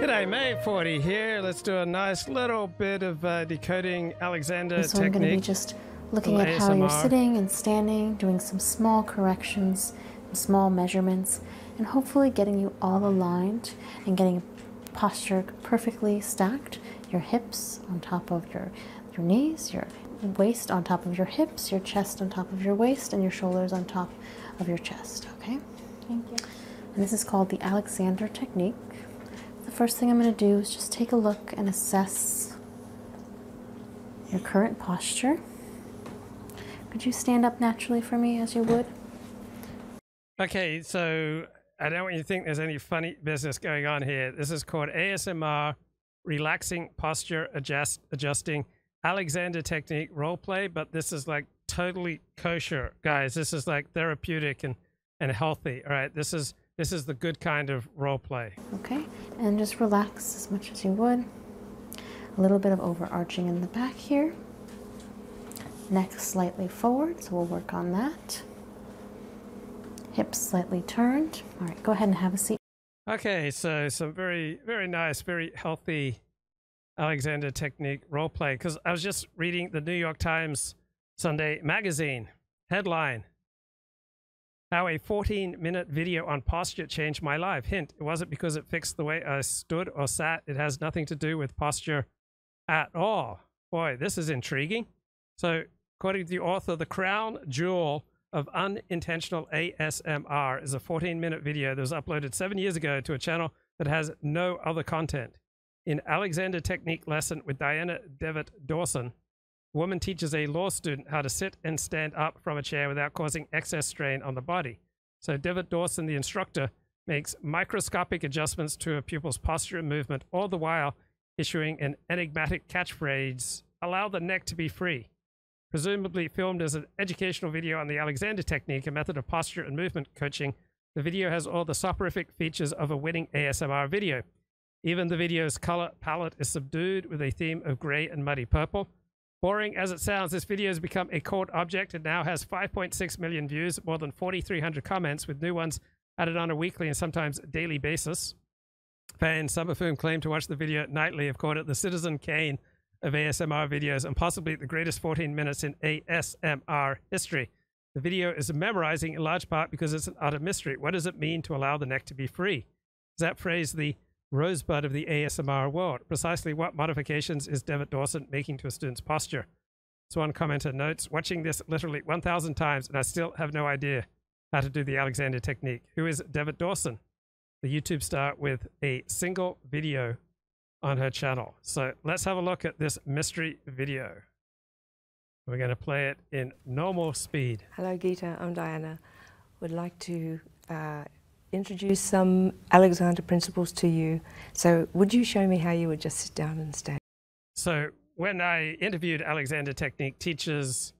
Good day, May 40 here. Let's do a nice little bit of uh, decoding Alexander so I'm going to be just looking at how you're sitting and standing, doing some small corrections, small measurements, and hopefully getting you all aligned and getting posture perfectly stacked. Your hips on top of your your knees, your waist on top of your hips, your chest on top of your waist, and your shoulders on top of your chest. Okay? Thank you. And this is called the Alexander technique. The first thing I'm going to do is just take a look and assess your current posture. Could you stand up naturally for me as you would? Okay, so I don't want you to think there's any funny business going on here. This is called ASMR relaxing posture, adjust, adjusting, Alexander technique, role play, but this is like totally kosher, guys. This is like therapeutic and, and healthy. All right. This is this is the good kind of role play. Okay. And just relax as much as you would. A little bit of overarching in the back here. Neck slightly forward, so we'll work on that. Hips slightly turned. All right, go ahead and have a seat. Okay, so some very, very nice, very healthy Alexander technique role play. Because I was just reading the New York Times Sunday magazine headline How a 14 minute video on posture changed my life. Hint, it wasn't because it fixed the way I stood or sat, it has nothing to do with posture at all. Boy, this is intriguing. So, according to the author, the crown jewel of unintentional ASMR is a 14 minute video that was uploaded seven years ago to a channel that has no other content. In Alexander Technique Lesson with Diana Devitt Dawson, woman teaches a law student how to sit and stand up from a chair without causing excess strain on the body. So Devitt Dawson, the instructor, makes microscopic adjustments to a pupil's posture and movement, all the while issuing an enigmatic catchphrase, allow the neck to be free. Presumably filmed as an educational video on the Alexander technique, a method of posture and movement coaching, the video has all the soporific features of a winning ASMR video. Even the video's color palette is subdued with a theme of gray and muddy purple. Boring as it sounds, this video has become a cult object It now has 5.6 million views, more than 4,300 comments, with new ones added on a weekly and sometimes daily basis. Fans, some of whom claim to watch the video nightly, have called it the Citizen Kane of ASMR videos and possibly the greatest 14 minutes in ASMR history. The video is memorizing in large part because it's an of mystery. What does it mean to allow the neck to be free? Is that phrase the rosebud of the ASMR world? Precisely what modifications is Devitt Dawson making to a student's posture? one commenter notes, watching this literally 1,000 times and I still have no idea how to do the Alexander technique, who is Devitt Dawson, the YouTube star with a single video on her channel. So let's have a look at this mystery video. We're going to play it in normal speed. Hello, Geeta. I'm Diana. Would like to uh, introduce some Alexander principles to you. So, would you show me how you would just sit down and stand? So, when I interviewed Alexander Technique teachers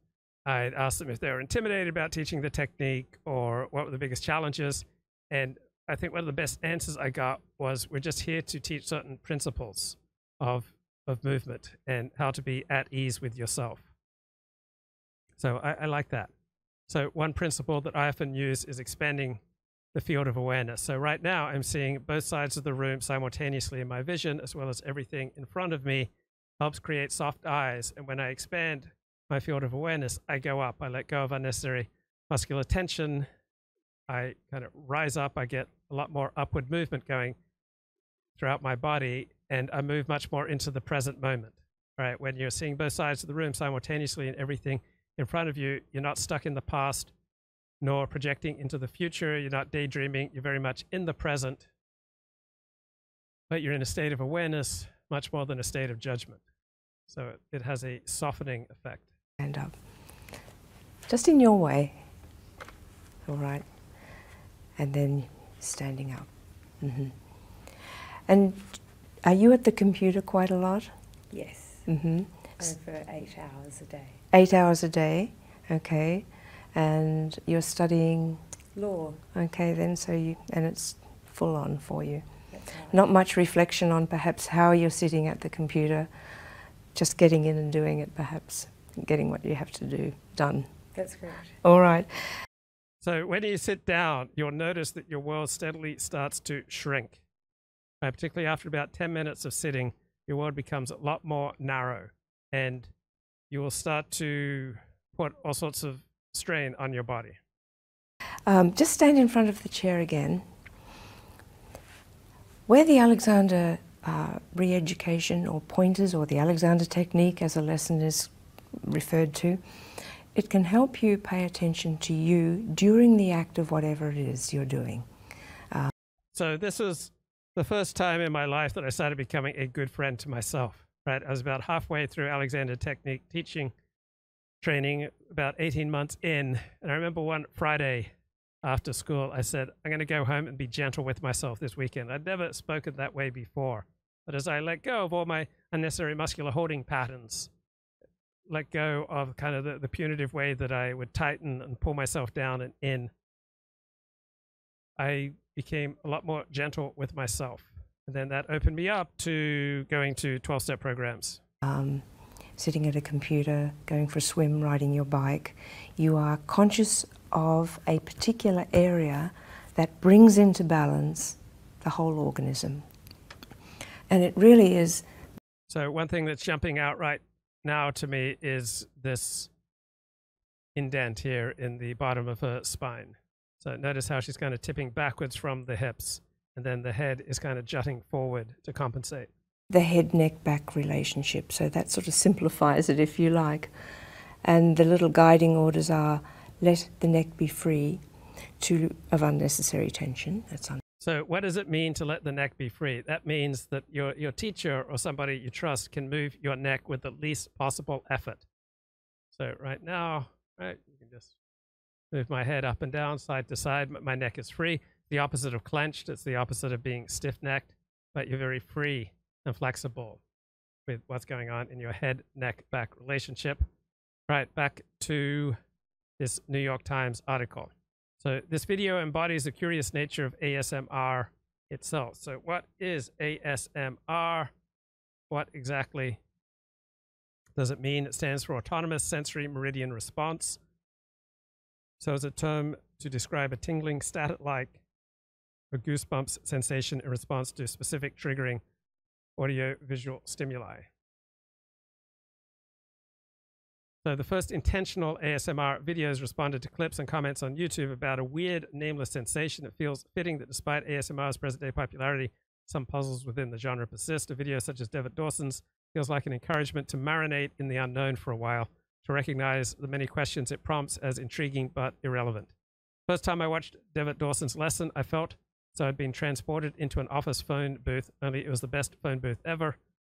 I asked them if they were intimidated about teaching the technique or what were the biggest challenges. And I think one of the best answers I got was we're just here to teach certain principles of, of movement and how to be at ease with yourself. So I, I like that. So, one principle that I often use is expanding the field of awareness. So, right now, I'm seeing both sides of the room simultaneously in my vision, as well as everything in front of me helps create soft eyes. And when I expand my field of awareness, I go up. I let go of unnecessary muscular tension. I kind of rise up. I get a lot more upward movement going throughout my body, and I move much more into the present moment. Right? When you're seeing both sides of the room simultaneously and everything in front of you, you're not stuck in the past nor projecting into the future. You're not daydreaming. You're very much in the present but you're in a state of awareness much more than a state of judgment. So it, has a softening effect. Stand up. Just in your way. All right. And then standing up. Mm-hmm. And are you at the computer quite a lot? Yes. Mm-hmm. Over eight hours a day. Eight hours a day, okay. And you're studying law. Okay, then, so you, and it's full on for you. Not much reflection on perhaps how you're sitting at the computer, just getting in and doing it perhaps, getting what you have to do done. That's correct. All right. So when you sit down, you'll notice that your world steadily starts to shrink. Uh, particularly after about 10 minutes of sitting, your world becomes a lot more narrow and you will start to put all sorts of strain on your body. Um, just stand in front of the chair again. Where the Alexander uh, re education or pointers or the Alexander technique as a lesson is referred to, it can help you pay attention to you during the act of whatever it is you're doing. so, this was the first time in my life that I started becoming a good friend to myself right? I was about halfway through Alexander Technique teaching training, about 18 months in. And I remember one Friday after school, I said, I'm going to go home and be gentle with myself this weekend. I'd never spoken that way before. But as I let go of all my unnecessary muscular holding patterns, let go of kind of the, punitive way that I would tighten and pull myself down and in, I became a lot more gentle with myself. And then that opened me up to going to 12 step programs. Um, sitting at a computer, going for a swim, riding your bike, you are conscious of a particular area that brings into balance the whole organism. And it really is. So, one thing that's jumping out right now to me is this indent here in the bottom of her spine. So notice how she's kind of tipping backwards from the hips, and then the head is kind of jutting forward to compensate. The head neck back relationship, so that sort of simplifies it if you like. And the little guiding orders are let the neck be free of unnecessary tension. That's un- so, what does it mean to let the neck be free? That means that your, your teacher or somebody you trust can move your neck with the least possible effort. So right now, right, you can just move my head up and down, side to side. My neck is free. The opposite of clenched, it's the opposite of being stiff necked, but you're very free and flexible with what's going on in your head neck back relationship. Right, back to this New York Times article. So this video embodies the curious nature of ASMR itself. So what is ASMR? what exactly does it mean? It stands for Autonomous Sensory Meridian Response. So it's a term to describe a tingling, static-like, or goosebumps sensation in response to specific triggering audio-visual stimuli. So the first intentional ASMR videos responded to clips and comments on YouTube about a weird, nameless sensation that feels fitting that despite ASMR's present day popularity, some puzzles within the genre persist. A video such as David Dawson's feels like an encouragement to marinate in the unknown for a while, to recognize the many questions it prompts as intriguing but irrelevant. First time I watched David Dawson's lesson, I felt so I'd been transported into an office phone booth, only it was the best phone booth ever.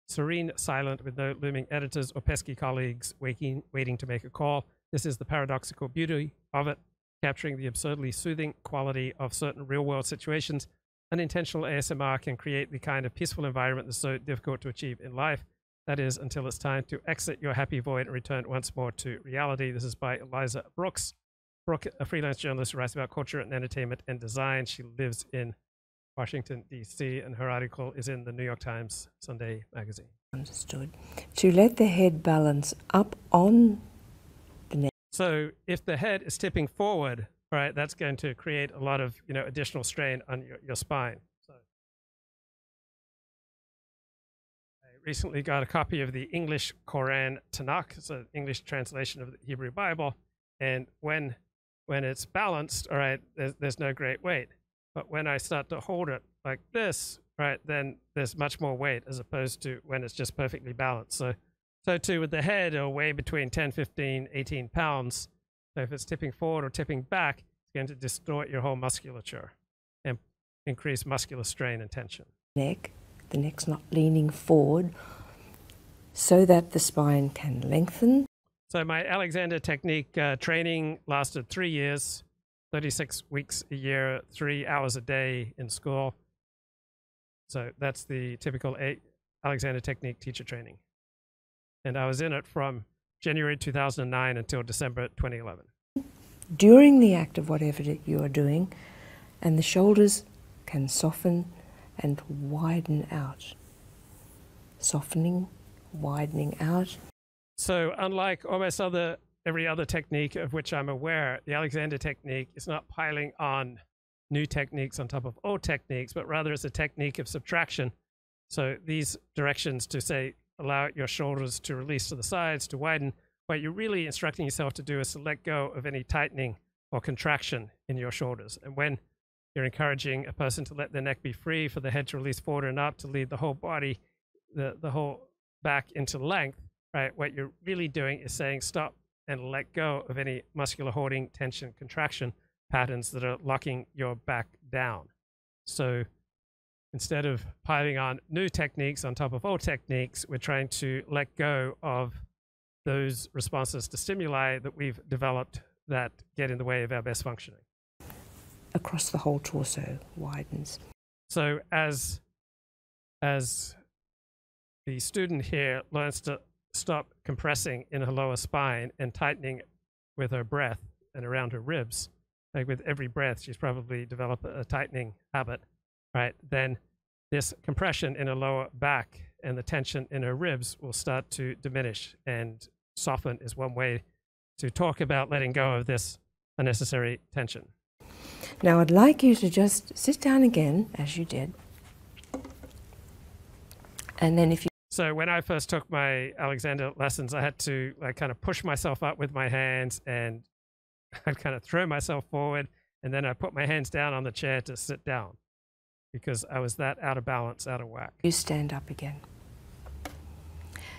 Serene, silent, with no looming editors or pesky colleagues waking, waiting to make a call. This is the paradoxical beauty of it, capturing the absurdly soothing quality of certain real world situations. Unintentional ASMR can create the kind of peaceful environment that's so difficult to achieve in life. That is, until it's time to exit your happy void and return once more to reality. This is by Eliza Brooks. a freelance journalist who writes about culture and entertainment and design. She lives in Washington, D.C., and her article is in the New York Times Sunday magazine. Understood. To let the head balance up on the neck. So if the head is tipping forward, right, that's going to create a lot of you know additional strain on your, your spine. So I recently got a copy of the English Quran Tanakh, it's an English translation of the Hebrew Bible, and when when it's balanced, all right, there's no great weight. But when I start to hold it like this, right, then there's much more weight as opposed to when it's just perfectly balanced. So, so too with the head, it'll weigh between 10, 15, 18 pounds. So if it's tipping forward or tipping back, it's going to distort your whole musculature and increase muscular strain and tension. Neck, the neck's not leaning forward so that the spine can lengthen. So my Alexander technique uh, training lasted three years. 36 weeks a year, three hours a day in school. So that's the typical Alexander Technique teacher training. And I was in it from January 2009 until December 2011. During the act of whatever you are doing, and the shoulders can soften and widen out. Softening, widening out, so unlike almost every other technique of which I'm aware, the Alexander technique is not piling on new techniques on top of old techniques, but rather it's a technique of subtraction. So these directions to say allow your shoulders to release to the sides to widen, what you're really instructing yourself to do is to let go of any tightening or contraction in your shoulders. And when you're encouraging a person to let their neck be free, for the head to release forward and up, to lead the whole body the the whole back into length, right? What you're really doing is saying stop and let go of any muscular hoarding, tension, contraction patterns that are locking your back down. So instead of piling on new techniques on top of old techniques, we're trying to let go of those responses to stimuli that we've developed that get in the way of our best functioning across the whole torso widens. So as as the student here learns to stop compressing in her lower spine and tightening with her breath and around her ribs, like with every breath, she's probably developed a tightening habit, right? Then this compression in her lower back and the tension in her ribs will start to diminish and soften is one way to talk about letting go of this unnecessary tension. Now, I'd like you to just sit down again, as you did. And then if you. So, when I first took my Alexander lessons, I had to like, kind of push myself up with my hands and I'd kind of throw myself forward. And then I put my hands down on the chair to sit down because I was that out of balance, out of whack. You stand up again.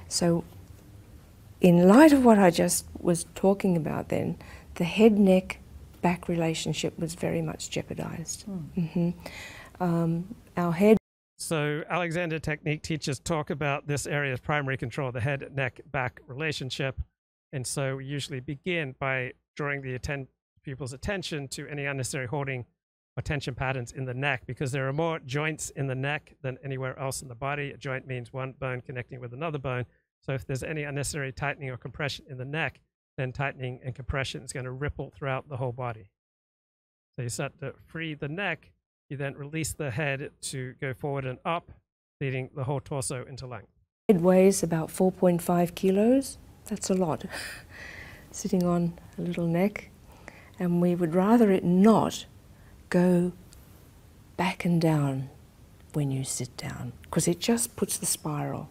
So, in light of what I just was talking about then, the head neck back relationship was very much jeopardized. Hmm. Mm-hmm. Um, our head. So, Alexander Technique teachers talk about this area of primary control, the head neck back relationship. And so, we usually begin by drawing the atten attention to any unnecessary holding or tension patterns in the neck because there are more joints in the neck than anywhere else in the body. A joint means one bone connecting with another bone. So if there's any unnecessary tightening or compression in the neck, then tightening and compression is going to ripple throughout the whole body. So you start to free the neck, you then release the head to go forward and up, leading the whole torso into length. It weighs about 4.5 kilos. That's a lot. Sitting on a little neck and we would rather it not go back and down when you sit down because it just puts the spiral.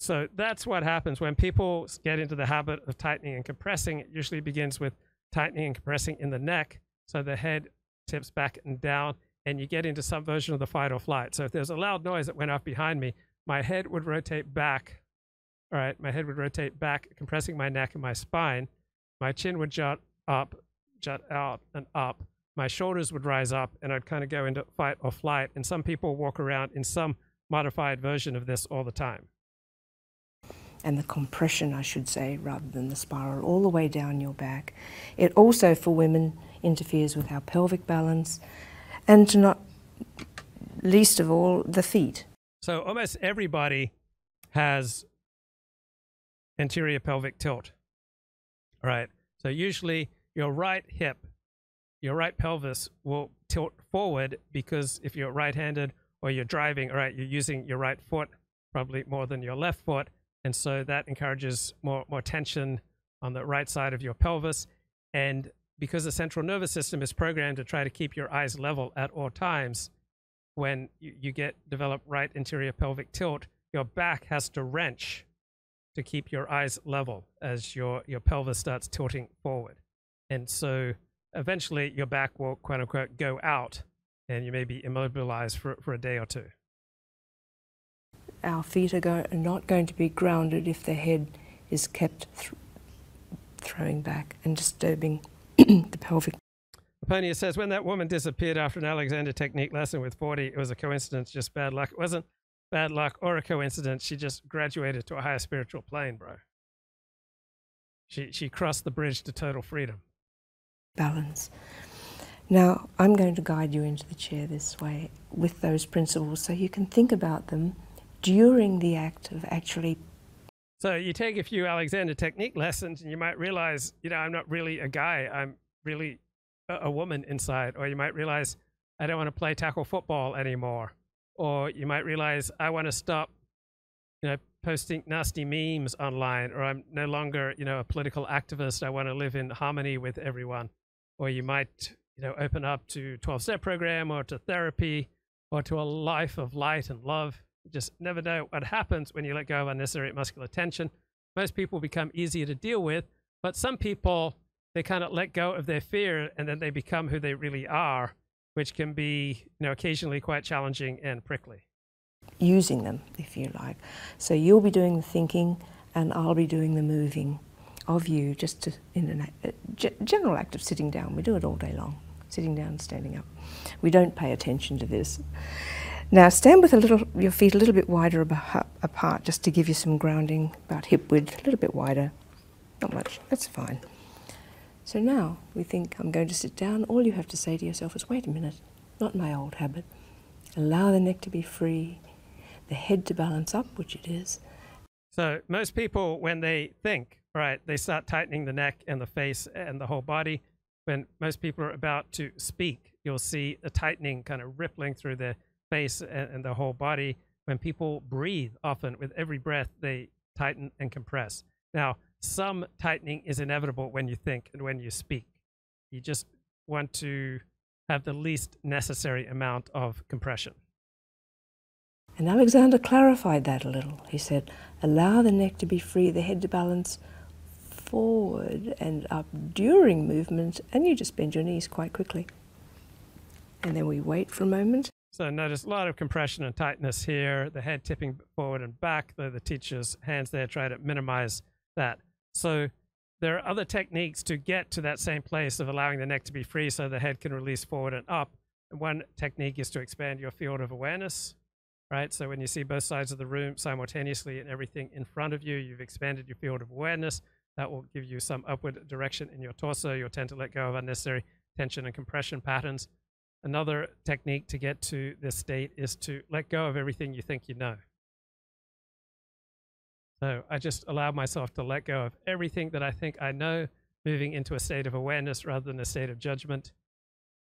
So that's what happens when people get into the habit of tightening and compressing. It usually begins with tightening and compressing in the neck. So the head tips back and down, and you get into some version of the fight or flight. So if there's a loud noise that went off behind me, my head would rotate back. All right, my head would rotate back, compressing my neck and my spine. My chin would jut up, jut out and up. My shoulders would rise up, and I'd kind of go into fight or flight. And some people walk around in some modified version of this all the time. And the compression, I should say, rather than the spiral, all the way down your back. It also, for women, interferes with our pelvic balance, and not least of all, the feet. So almost everybody has anterior pelvic tilt. All right. So usually your right hip, your right pelvis will tilt forward because if you're right handed or you're driving, all right, you're using your right foot probably more than your left foot. And so that encourages more, more tension on the right side of your pelvis. And because the central nervous system is programmed to try to keep your eyes level at all times, when you, get developed right anterior pelvic tilt, your back has to wrench to keep your eyes level as your, your pelvis starts tilting forward. And so eventually your back will quote unquote go out and you may be immobilized for, for a day or two. Our feet are, not going to be grounded if the head is kept throwing back and disturbing the pelvic Aponius says, when that woman disappeared after an Alexander technique lesson with 40, it was a coincidence, just bad luck. It wasn't bad luck or a coincidence. She just graduated to a higher spiritual plane, bro. She, she crossed the bridge to total freedom. Balance. Now, I'm going to guide you into the chair this way with those principles so you can think about them during the act of actually so you take a few Alexander technique lessons and you might realize, you know, I'm not really a guy. I'm really a, woman inside. Or you might realize I don't want to play tackle football anymore. Or you might realize I want to stop, you know, posting nasty memes online or I'm no longer, you know, a political activist. I want to live in harmony with everyone. Or you might, you know, open up to 12 step program or to therapy or to a life of light and love. You just never know what happens when you let go of unnecessary muscular tension. Most people become easier to deal with, but some people, they kind of let go of their fear and then they become who they really are, which can be, you know, occasionally quite challenging and prickly. Using them, if you like. So you'll be doing the thinking and I'll be doing the moving of you just in a general act of sitting down. We do it all day long, sitting down standing up. We don't pay attention to this. Now stand with a little, your feet a little bit wider apart just to give you some grounding, about hip width, a little bit wider. Not much, that's fine. So now we think I'm going to sit down. All you have to say to yourself is, wait a minute, not my old habit. Allow the neck to be free, the head to balance up, which it is. So most people, when they think, right, they start tightening the neck and the face and the whole body. When most people are about to speak, you'll see a tightening kind of rippling through the face and, the whole body. When people breathe, often with every breath, they tighten and compress. Now, some tightening is inevitable when you think and when you speak. You just want to have the least necessary amount of compression. And Alexander clarified that a little. He said, Allow the neck to be free, the head to balance forward and up during movement, and you just bend your knees quite quickly. And then we wait for a moment. So notice a lot of compression and tightness here, the head tipping forward and back, though the teacher's hands there try to minimize that. So there are other techniques to get to that same place of allowing the neck to be free so the head can release forward and up. one technique is to expand your field of awareness right? So when you see both sides of the room simultaneously and everything in front of you, you've expanded your field of awareness. That will give you some upward direction in your torso. You'll tend to let go of unnecessary tension and compression patterns. Another technique to get to this state is to let go of everything you think you know. So I just allow myself to let go of everything that I think I know, moving into a state of awareness rather than a state of judgment,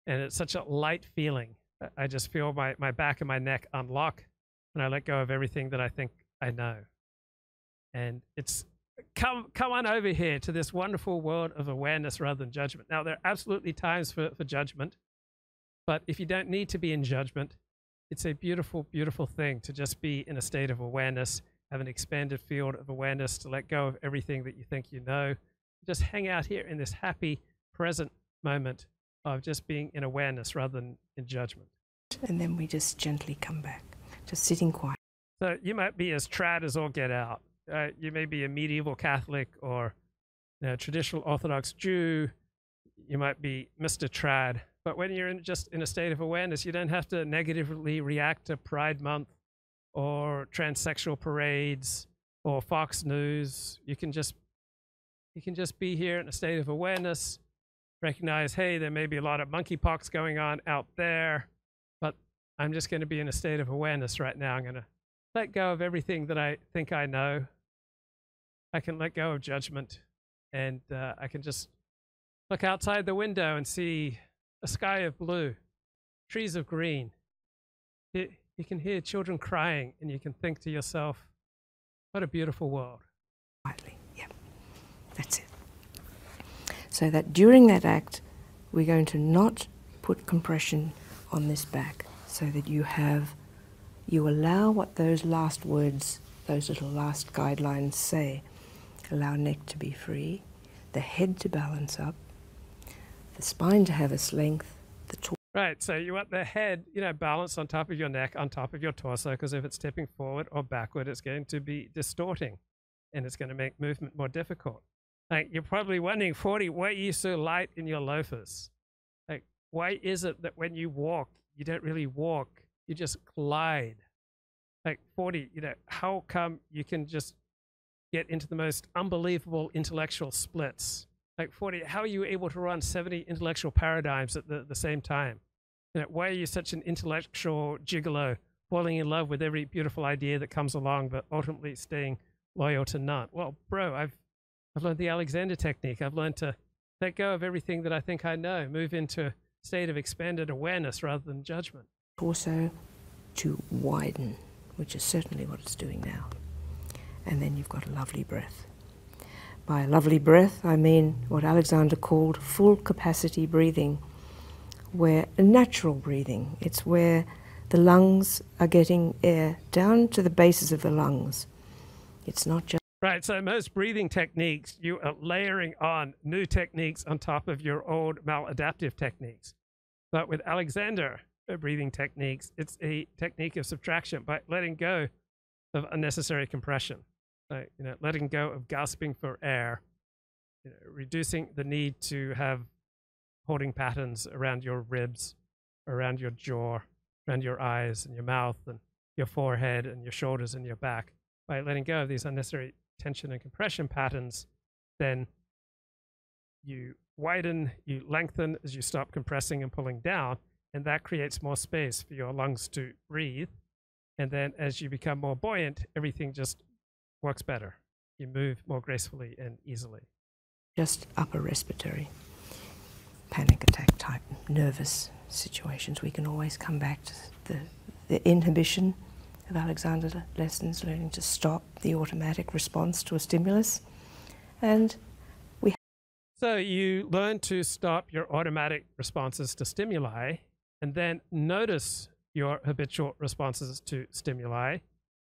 and it's such a light feeling. I just feel my, my back and my neck unlock and I let go of everything that I think I know. And it's come come on over here to this wonderful world of awareness rather than judgment. Now there are absolutely times for, for judgment, but if you don't need to be in judgment, it's a beautiful, beautiful thing to just be in a state of awareness, have an expanded field of awareness to let go of everything that you think you know just hang out here in this happy present moment of just being in awareness rather than in judgment. And then we just gently come back, just sitting quiet. So you might be as trad as all get out. Uh, you may be a medieval Catholic or you traditional Orthodox Jew. You might be Mr. Trad. But when you're in, just in a state of awareness, you don't have to negatively react to Pride Month or transsexual parades or Fox News. You can just you can just be here in a state of awareness, recognize, hey, there may be a lot of monkeypox going on out there, but I'm just going to be in a state of awareness right now. I'm going to let go of everything that I think I know. I can let go of judgment, and uh, I can just look outside the window and see a sky of blue trees of green. You, can hear children crying, and you can think to yourself, what a beautiful world. Quietly, yep. That's it. So that during that act, we're going to not put compression on this back so that you have, you allow what those last words, those little last guidelines say. Allow neck to be free the head to balance up, the spine to have a length, the torso. Right, so you want the head, you know, balanced on top of your neck, on top of your torso, because if it's stepping forward or backward, it's going to be distorting and it's going to make movement more difficult. Like, you're probably wondering, 40, why are you so light in your loafers? Like, why is it that when you walk, you don't really walk, you just glide? Like, 40, you know, how come you can just get into the most unbelievable intellectual splits. Like 40, how are you able to run 70 intellectual paradigms at the, the same time? You why are you such an intellectual gigolo, falling in love with every beautiful idea that comes along, but ultimately staying loyal to none? Well, bro, I've, I've learned the Alexander technique. I've learned to let go of everything that I think I know, move into a state of expanded awareness rather than judgment torso to widen, which is certainly what it's doing now. And then you've got a lovely breath. By a lovely breath, I mean what Alexander called full capacity breathing, where natural breathing, it's where the lungs are getting air down to the bases of the lungs. It's not just Right. So, most breathing techniques, you are layering on new techniques on top of your old maladaptive techniques. But with Alexander uh, breathing techniques, it's a technique of subtraction by letting go of unnecessary compression, you know, letting go of gasping for air, reducing the need to have holding patterns around your ribs, around your jaw, around your eyes and your mouth and your forehead and your shoulders and your back by letting go of these unnecessary tension and compression patterns then you widen, you lengthen as you stop compressing and pulling down, and that creates more space for your lungs to breathe. And then as you become more buoyant, everything just works better. You move more gracefully and easily. Just upper respiratory panic attack type nervous situations. We can always come back to the, inhibition of Alexander lessons, learning to stop the automatic response to a stimulus. And we. So you learn to stop your automatic responses to stimuli and then notice your habitual responses to stimuli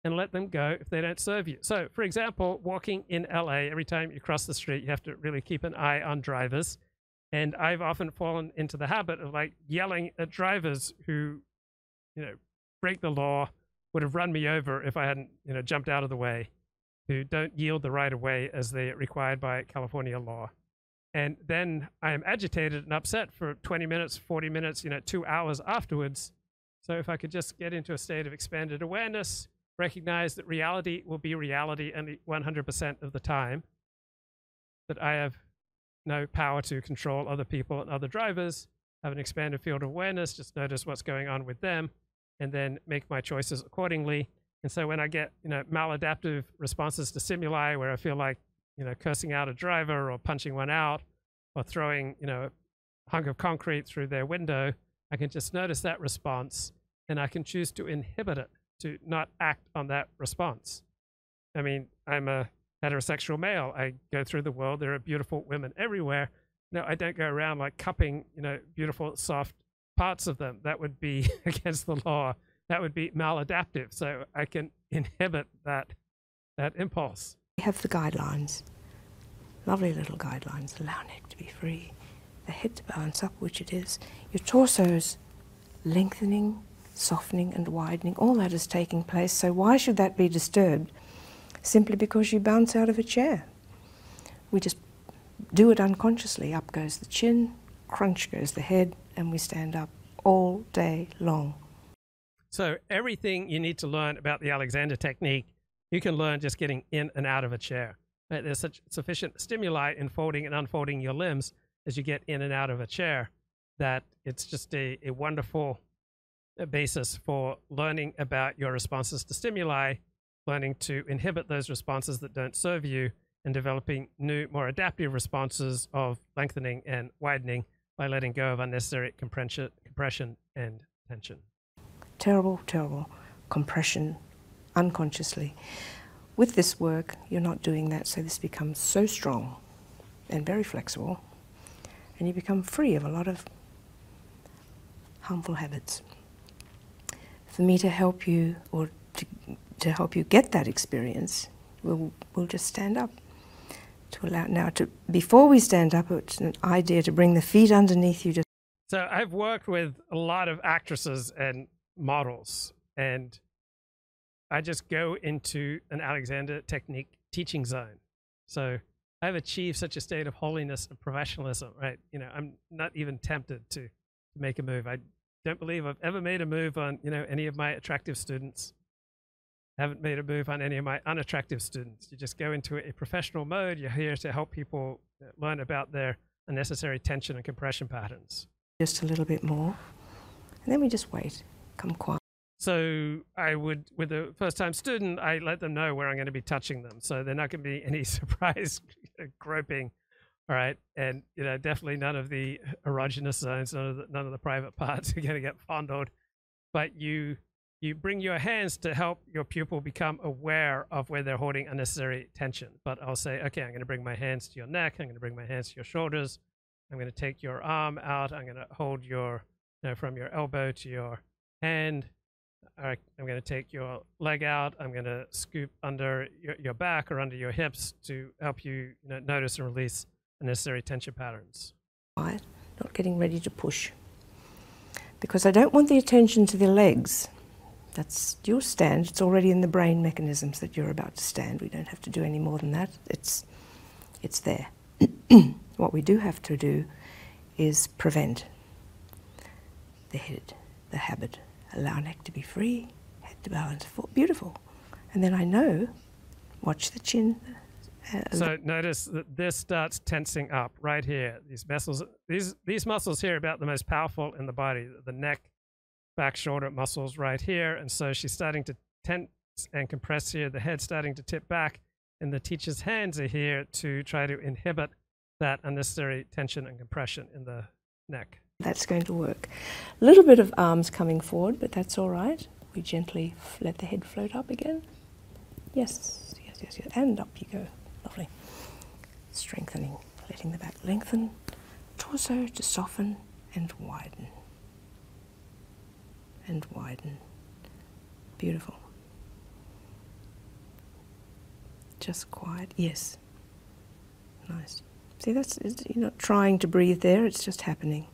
and let them go if they don't serve you. So, for example, walking in LA, every time you cross the street, you have to really keep an eye on drivers. And I've often fallen into the habit of like yelling at drivers who you know, break the law, would have run me over if I hadn't, you know, jumped out of the way, who don't yield the right of way as they required by California law. And then I am agitated and upset for 20 minutes, 40 minutes, you know, two hours afterwards. So if I could just get into a state of expanded awareness, recognize that reality will be reality only 100% of the time, that I have no power to control other people and other drivers, have an expanded field of awareness, just notice what's going on with them, and then make my choices accordingly. And so when I get, you know, maladaptive responses to stimuli where I feel like, you know, cursing out a driver or punching one out or throwing, you know, a hunk of concrete through their window, I can just notice that response and I can choose to inhibit it, to not act on that response. I mean, I'm a heterosexual male. I go through the world. There are beautiful women everywhere. No, I don't go around like cupping, you know, beautiful, soft parts of them. That would be against the law. That would be maladaptive. So I can inhibit that that impulse. We have the guidelines. Lovely little guidelines. Allow neck to be free. The head to balance up, which it is. Your torso is lengthening softening and widening, all that is taking place. So why should that be disturbed? Simply because you bounce out of a chair. We just do it unconsciously. Up goes the chin, crunch goes the head, and we stand up all day long. So everything you need to learn about the Alexander technique, you can learn just getting in and out of a chair. There's such sufficient stimuli in folding and unfolding your limbs as you get in and out of a chair that it's just a, wonderful uh, basis for learning about your responses to stimuli, learning to inhibit those responses that don't serve you, and developing new, more adaptive responses of lengthening and widening by letting go of unnecessary compression and tension. Terrible, terrible compression unconsciously. With this work, you're not doing that, so this becomes so strong and very flexible and you become free of a lot of harmful habits. For me to help you or to, to help you get that experience, we'll, we'll just stand up. To allow now to before we stand up, it's an idea to bring the feet underneath you. so I've worked with a lot of actresses and models, and I just go into an Alexander technique teaching zone. So I have achieved such a state of holiness and professionalism, right? You know, I'm not even tempted to, to make a move. I don't believe I've ever made a move on, you know, any of my attractive students. haven't made a move on any of my unattractive students. You just go into a professional mode. You're here to help people uh, learn about their unnecessary tension and compression patterns. Just a little bit more. And then we just wait, come quiet. So I would, with a first-time student, I let them know where I'm going to be touching them, so they're not going to be any surprise groping. All right, and you know, definitely none of the erogenous zones, none of the, none of the private parts are going to get fondled. But you you bring your hands to help your pupil become aware of where they're holding unnecessary tension. But I'll say, okay, I'm going to bring my hands to your neck. I'm going to bring my hands to your shoulders. I'm going to take your arm out. I'm going to hold your, from your elbow to your hand. I'm going to take your leg out. I'm going to scoop under your, back or under your hips to help you, notice and release unnecessary tension patterns. Quiet, not getting ready to push. Because I don't want the attention to the legs. That's your stand. It's already in the brain mechanisms that you're about to stand. We don't have to do any more than that. It's, it's there what we do have to do is prevent the head, the habit. Allow neck to be free, head to balance, beautiful. And then I know, watch the chin. Uh, so notice that this starts tensing up right here. These muscles, these these muscles here, are about the most powerful in the body. The neck, back shoulder muscles right here, and so she's starting to tense and compressed here. The head starting to tip back, and the teacher's hands are here to try to inhibit that unnecessary tension and compression in the neck. That's going to work. A little bit of arms coming forward, but that's all right. We gently let the head float up again. Yes, yes, yes, yes. And up you go. Lovely. Strengthening, letting the back lengthen, torso to soften and widen and widen. Beautiful. Just quiet. Yes. Nice. See, that's you're not trying to breathe there, it's just happening.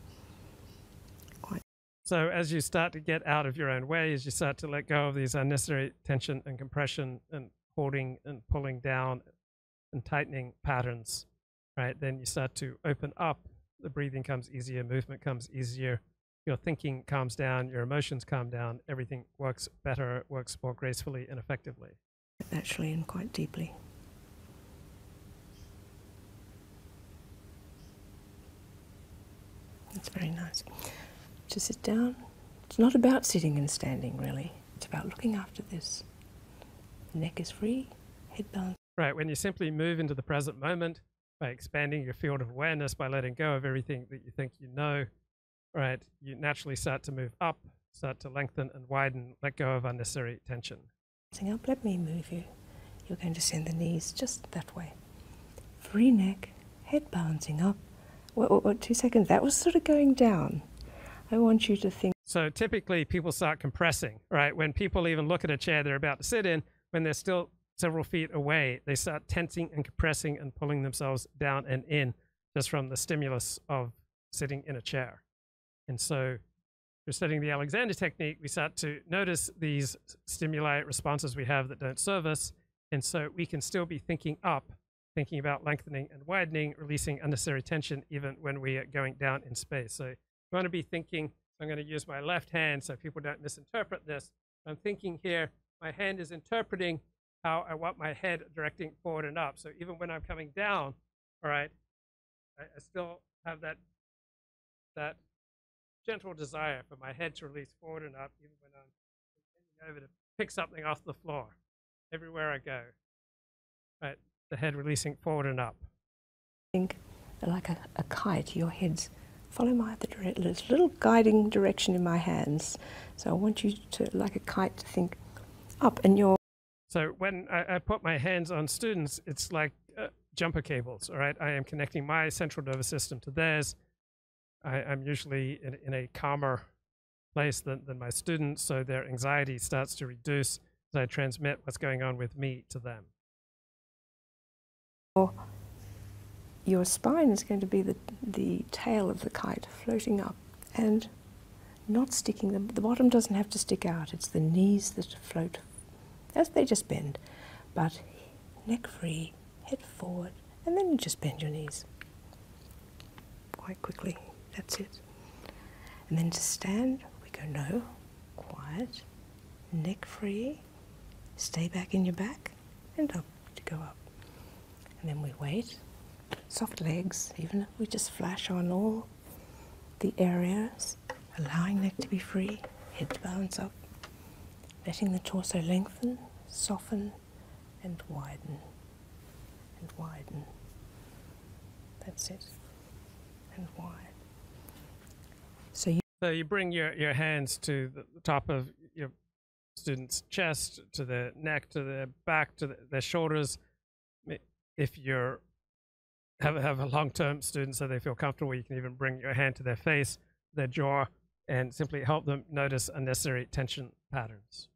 Quite. So, as you start to get out of your own way, as you start to let go of these unnecessary tension and compression and holding and pulling down and tightening patterns, right? Then you start to open up. The breathing comes easier, movement comes easier. Your thinking calms down, your emotions calm down, everything works better, works more gracefully and effectively. naturally and quite deeply. That's very nice. To sit down, it's not about sitting and standing really, it's about looking after this. neck is free, head balanced. Right, when you simply move into the present moment by expanding your field of awareness, by letting go of everything that you think you know, right, you naturally start to move up, start to lengthen and widen, let go of unnecessary tension. Sitting up, let me move you. You're going to send the knees just that way. Free neck, head bouncing up. What, what, what, two seconds? That was sort of going down. I want you to think. So typically people start compressing, right? When people even look at a chair they're about to sit in, when they're still several feet away, they start tensing and compressing and pulling themselves down and in just from the stimulus of sitting in a chair. And so we're studying the Alexander technique, we start to notice these stimuli responses we have that don't serve us. And so we can still be thinking up, thinking about lengthening and widening, releasing unnecessary tension, even when we are going down in space. So I'm going to be thinking, I'm going to use my left hand so people don't misinterpret this. I'm thinking here, my hand is interpreting how I want my head directing forward and up. So even when I'm coming down, all right, I, still have that, that gentle desire for my head to release forward and up, even when I'm bending over to pick something off the floor everywhere I go. Right, the head releasing forward and up. Think like a, kite, your head's follow my little guiding direction in my hands. So I want you to, like a kite, to think up and you're. So when I, put my hands on students, it's like uh, jumper cables, all right? I am connecting my central nervous system to theirs. I, am usually in, a calmer place than my students, so their anxiety starts to reduce as I transmit what's going on with me to them. Your spine is going to be the, the tail of the kite floating up and not sticking, the, the bottom doesn't have to stick out, it's the knees that float as they just bend. But neck free, head forward, and then you just bend your knees quite quickly. That's it. And then to stand, we go no, quiet, neck free, stay back in your back, and up to go up. And then we wait, soft legs, even if we just flash on all the areas, allowing neck to be free, head to balance up, letting the torso lengthen, soften, and widen, and widen. That's it. So you, bring your, your hands to the top of your student's chest, to the neck, to the back, to their shoulders. If you're have have a long term student, so they feel comfortable, you can even bring your hand to their face, their jaw, and simply help them notice unnecessary tension patterns,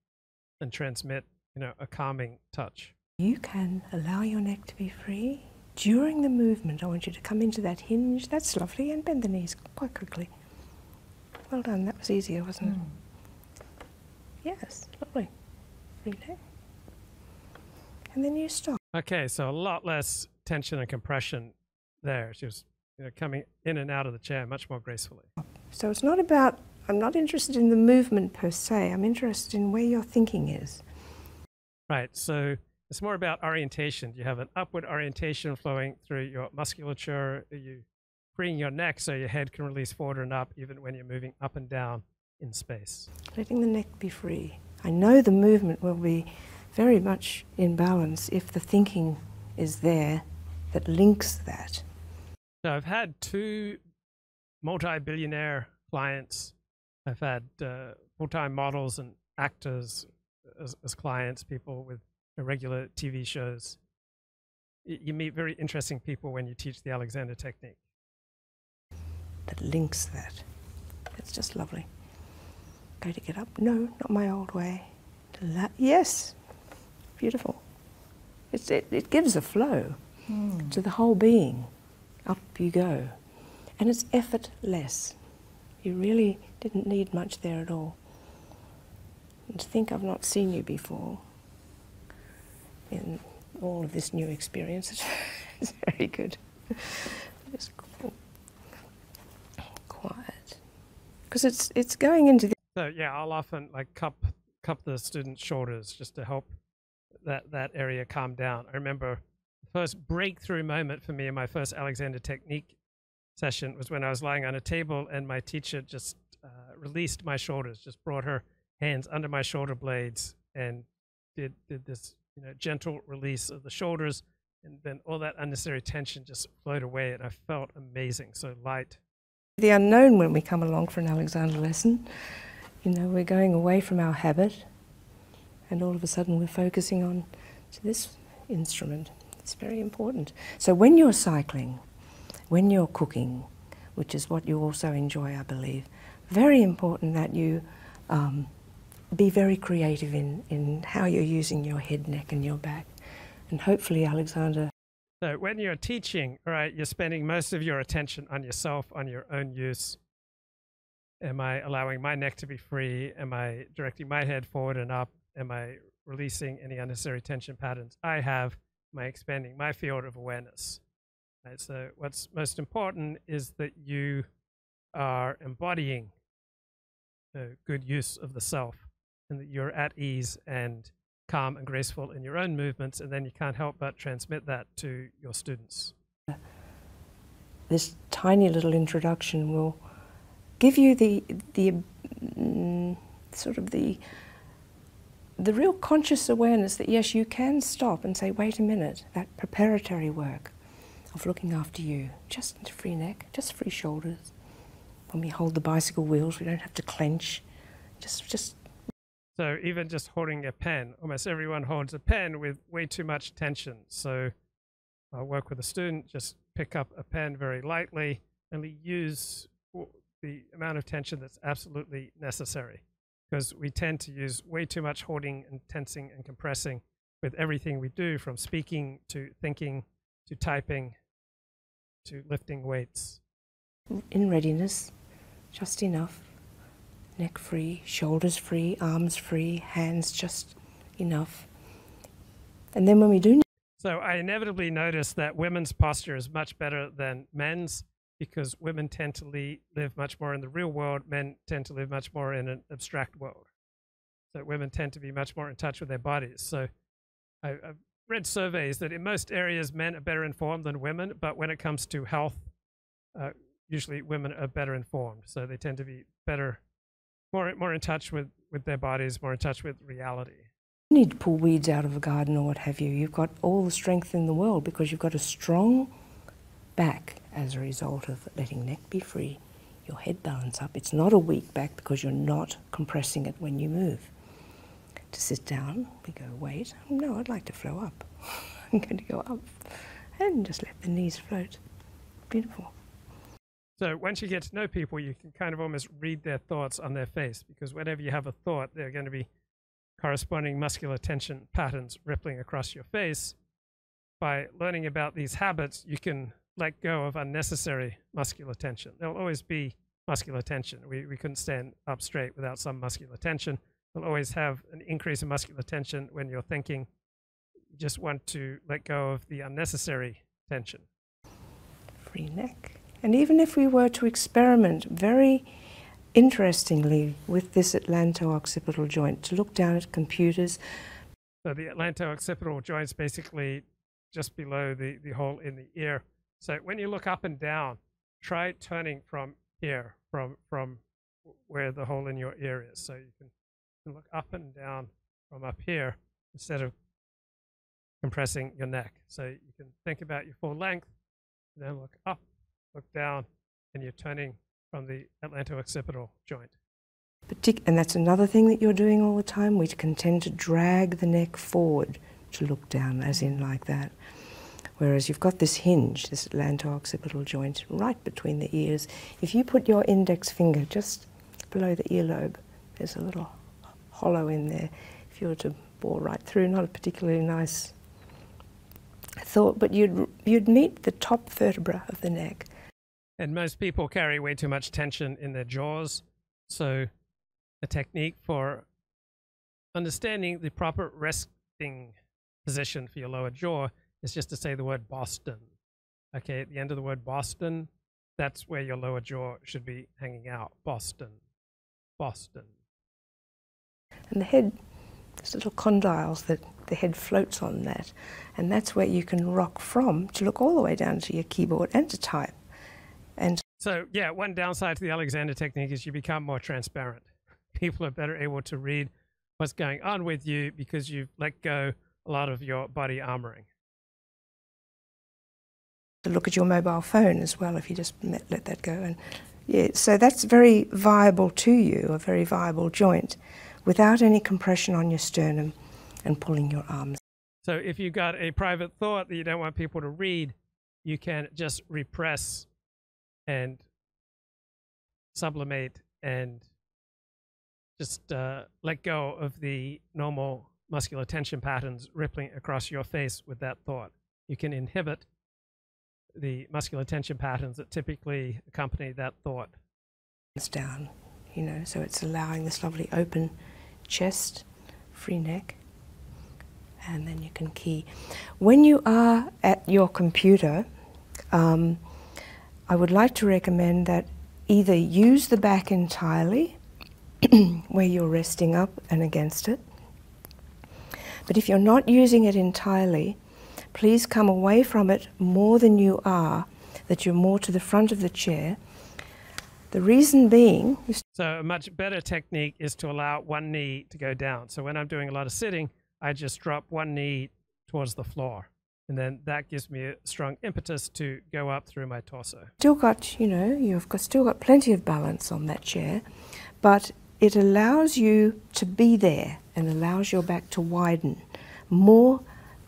and transmit you know a calming touch. You can allow your neck to be free. During the movement, I want you to come into that hinge. That's lovely. And bend the knees quite quickly. Well done. That was easier, wasn't it? Hmm. Yes, lovely. Relax. And then you stop. Okay, so a lot less tension and compression there. She was you know, coming in and out of the chair much more gracefully. So it's not about, I'm not interested in the movement per se, I'm interested in where your thinking is. Right, so it's more about orientation. You have an upward orientation flowing through your musculature. You free your neck so your head can release forward and up even when you're moving up and down in space. Letting the neck be free. I know the movement will be very much in balance if the thinking is there that links that. So I've had two multi-billionaire clients. I've had uh, full-time models and actors as, clients, people with regular TV shows. You meet very interesting people when you teach the Alexander technique. That links that. It's just lovely. Go to get up. No, not my old way. yes, beautiful. it, it gives a flow hmm. to the whole being up you go. And it's effortless. You really didn't need much there at all. And to think I've not seen you before in all of this new experience it's very good. It's cool. quiet. Because it's, it's going into the. So, yeah, I'll often like cup, cup the students' shoulders just to help that that area calmed down. I remember the first breakthrough moment for me in my first Alexander Technique session was when I was lying on a table and my teacher just uh, released my shoulders, just brought her hands under my shoulder blades and did did this gentle release of the shoulders and then all that unnecessary tension just flowed away and I felt amazing, so light. The unknown when we come along for an Alexander lesson, you know, we're going away from our habit and all of a sudden we're focusing on this instrument. It's very important. So when you're cycling, when you're cooking, which is what you also enjoy, I believe, very important that you um, be very creative in, in how you're using your head, neck, and your back. And hopefully, Alexander. So, when you're teaching, right, you're spending most of your attention on yourself, on your own use. Am I allowing my neck to be free? Am I directing my head forward and up? Am I releasing any unnecessary tension patterns I have? my expanding my field of awareness? Right, so, what's most important is that you are embodying the good use of the self and that you're at ease and calm and graceful in your own movements, and then you can't help but transmit that to your students. This tiny little introduction will give you the, the mm, sort of the, the real conscious awareness that yes, you can stop and say, wait a minute, that preparatory work of looking after you, just free neck, just free shoulders. When we hold the bicycle wheels, we don't have to clench. Just, just so even just holding a pen, almost everyone holds a pen with way too much tension. So I work with a student, just pick up a pen very lightly, only use the amount of tension that's absolutely necessary because we tend to use way too much holding and tensing and compressing with everything we do from speaking to thinking to typing to lifting weights. In readiness, just enough neck free, shoulders free, arms free, hands just enough. And then when we do. So I inevitably notice that women's posture is much better than men's because women tend to live much more in the real world, men tend to live much more in an abstract world. So women tend to be much more in touch with their bodies. So I, have read surveys that in most areas men are better informed than women, but when it comes to health uh, usually women are better informed, so they tend to be better, more more in touch with with their bodies, more in touch with reality. You need to pull weeds out of a garden or what have you. You've got all the strength in the world because you've got a strong back as a result of letting neck be free, your head balance up. It's not a weak back because you're not compressing it when you move. To sit down, we go, wait, no, I'd like to flow up. I'm going to go up and just let the knees float. Beautiful. So once you get to know people, you can kind of almost read their thoughts on their face because whenever you have a thought, there are going to be corresponding muscular tension patterns rippling across your face. By learning about these habits, you can let go of unnecessary muscular tension. There'll always be muscular tension. We, we couldn't stand up straight without some muscular tension will always have an increase in muscular tension when you're thinking. You just want to let go of the unnecessary tension. Free neck. And even if we were to experiment very interestingly with this atlanto-occipital joint, to look down at computers. So the atlanto-occipital joint is basically just below the, the hole in the ear. So when you look up and down, try turning from here, from, from where the hole in your ear is. So you can, look up and down from up here instead of compressing your neck. So you can think about your full length, and then look up, look down, and you're turning from the atlanto-occipital joint. and that's another thing that you're doing all the time. We can tend to drag the neck forward to look down, as in like that. Whereas you've got this hinge, this atlanto joint right between the ears. If you put your index finger just below the earlobe, there's a little hollow in there. If you were to bore right through, not a particularly nice thought, but you'd, you'd meet the top vertebra of the neck. And most people carry way too much tension in their jaws. So, a technique for Understanding the proper resting position for your lower jaw is just to say the word Boston. Okay, at the end of the word Boston, that's where your lower jaw should be hanging out. Boston. Boston. And the head, there's little condyles that the head floats on that, and that's where you can rock from to look all the way down to your keyboard and to type. And so, yeah, one downside to the Alexander technique is you become more transparent. people are better able to read what's going on with you because you let go a lot of your body armoring. To look at your mobile phone as well if you just let that go. And yeah, so that's very viable to you, a very viable joint, without any compression on your sternum and pulling your arms. So if you've got a private thought that you don't want people to read, you can just repress and sublimate and just uh, let go of the normal muscular tension patterns rippling across your face with that thought. You can inhibit the muscular tension patterns that typically accompany that thought. It's down, you know, so it's allowing this lovely open chest, free neck, and then you can key. When you are at your computer, um, I would like to recommend that either use the back entirely where you're resting up and against it, but if you're not using it entirely, please come away from it more than you are, that you're more to the front of the chair. The reason being. So, a much better technique is to allow one knee to go down. So, when I'm doing a lot of sitting, I just drop one knee towards the floor. And then that gives me a strong impetus to go up through my torso. Still got, you know, you've got, still got plenty of balance on that chair, but it allows you to be there and allows your back to widen more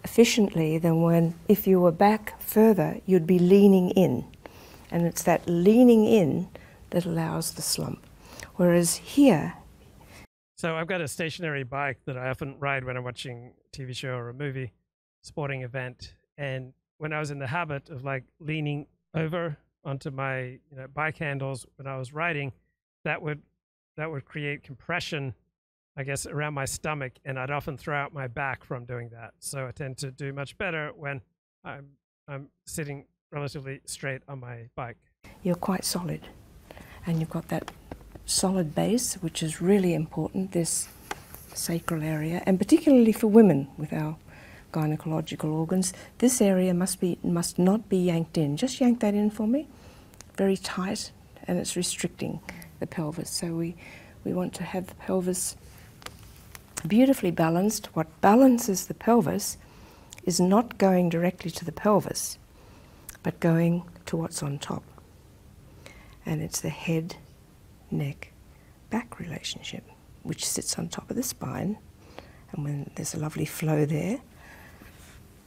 efficiently than when, if you were back further, you'd be leaning in. And it's that leaning in that allows the slump. Whereas here. So I've got a stationary bike that I often ride when I'm watching a TV show or a movie, sporting event. And when I was in the habit of like leaning over onto my bike handles when I was riding, that would that would create compression, I guess, around my stomach, and I'd often throw out my back from doing that. So I tend to do much better when I'm I'm sitting relatively straight on my bike. You're quite solid, and you've got that solid base, which is really important. This sacral area, and particularly for women with our gynecological organs, this area must be must not be yanked in. Just yank that in for me, very tight, and it's restricting the pelvis. So we we want to have the pelvis beautifully balanced. What balances the pelvis is not going directly to the pelvis, but going to what's on top. And it's the head, neck, back relationship, which sits on top of the spine. And when there's a lovely flow there,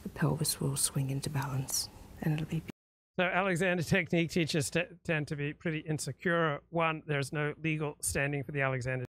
the pelvis will swing into balance and it'll be. So, Alexander Technique teachers tend to be pretty insecure. One, there's no legal standing for the Alexander.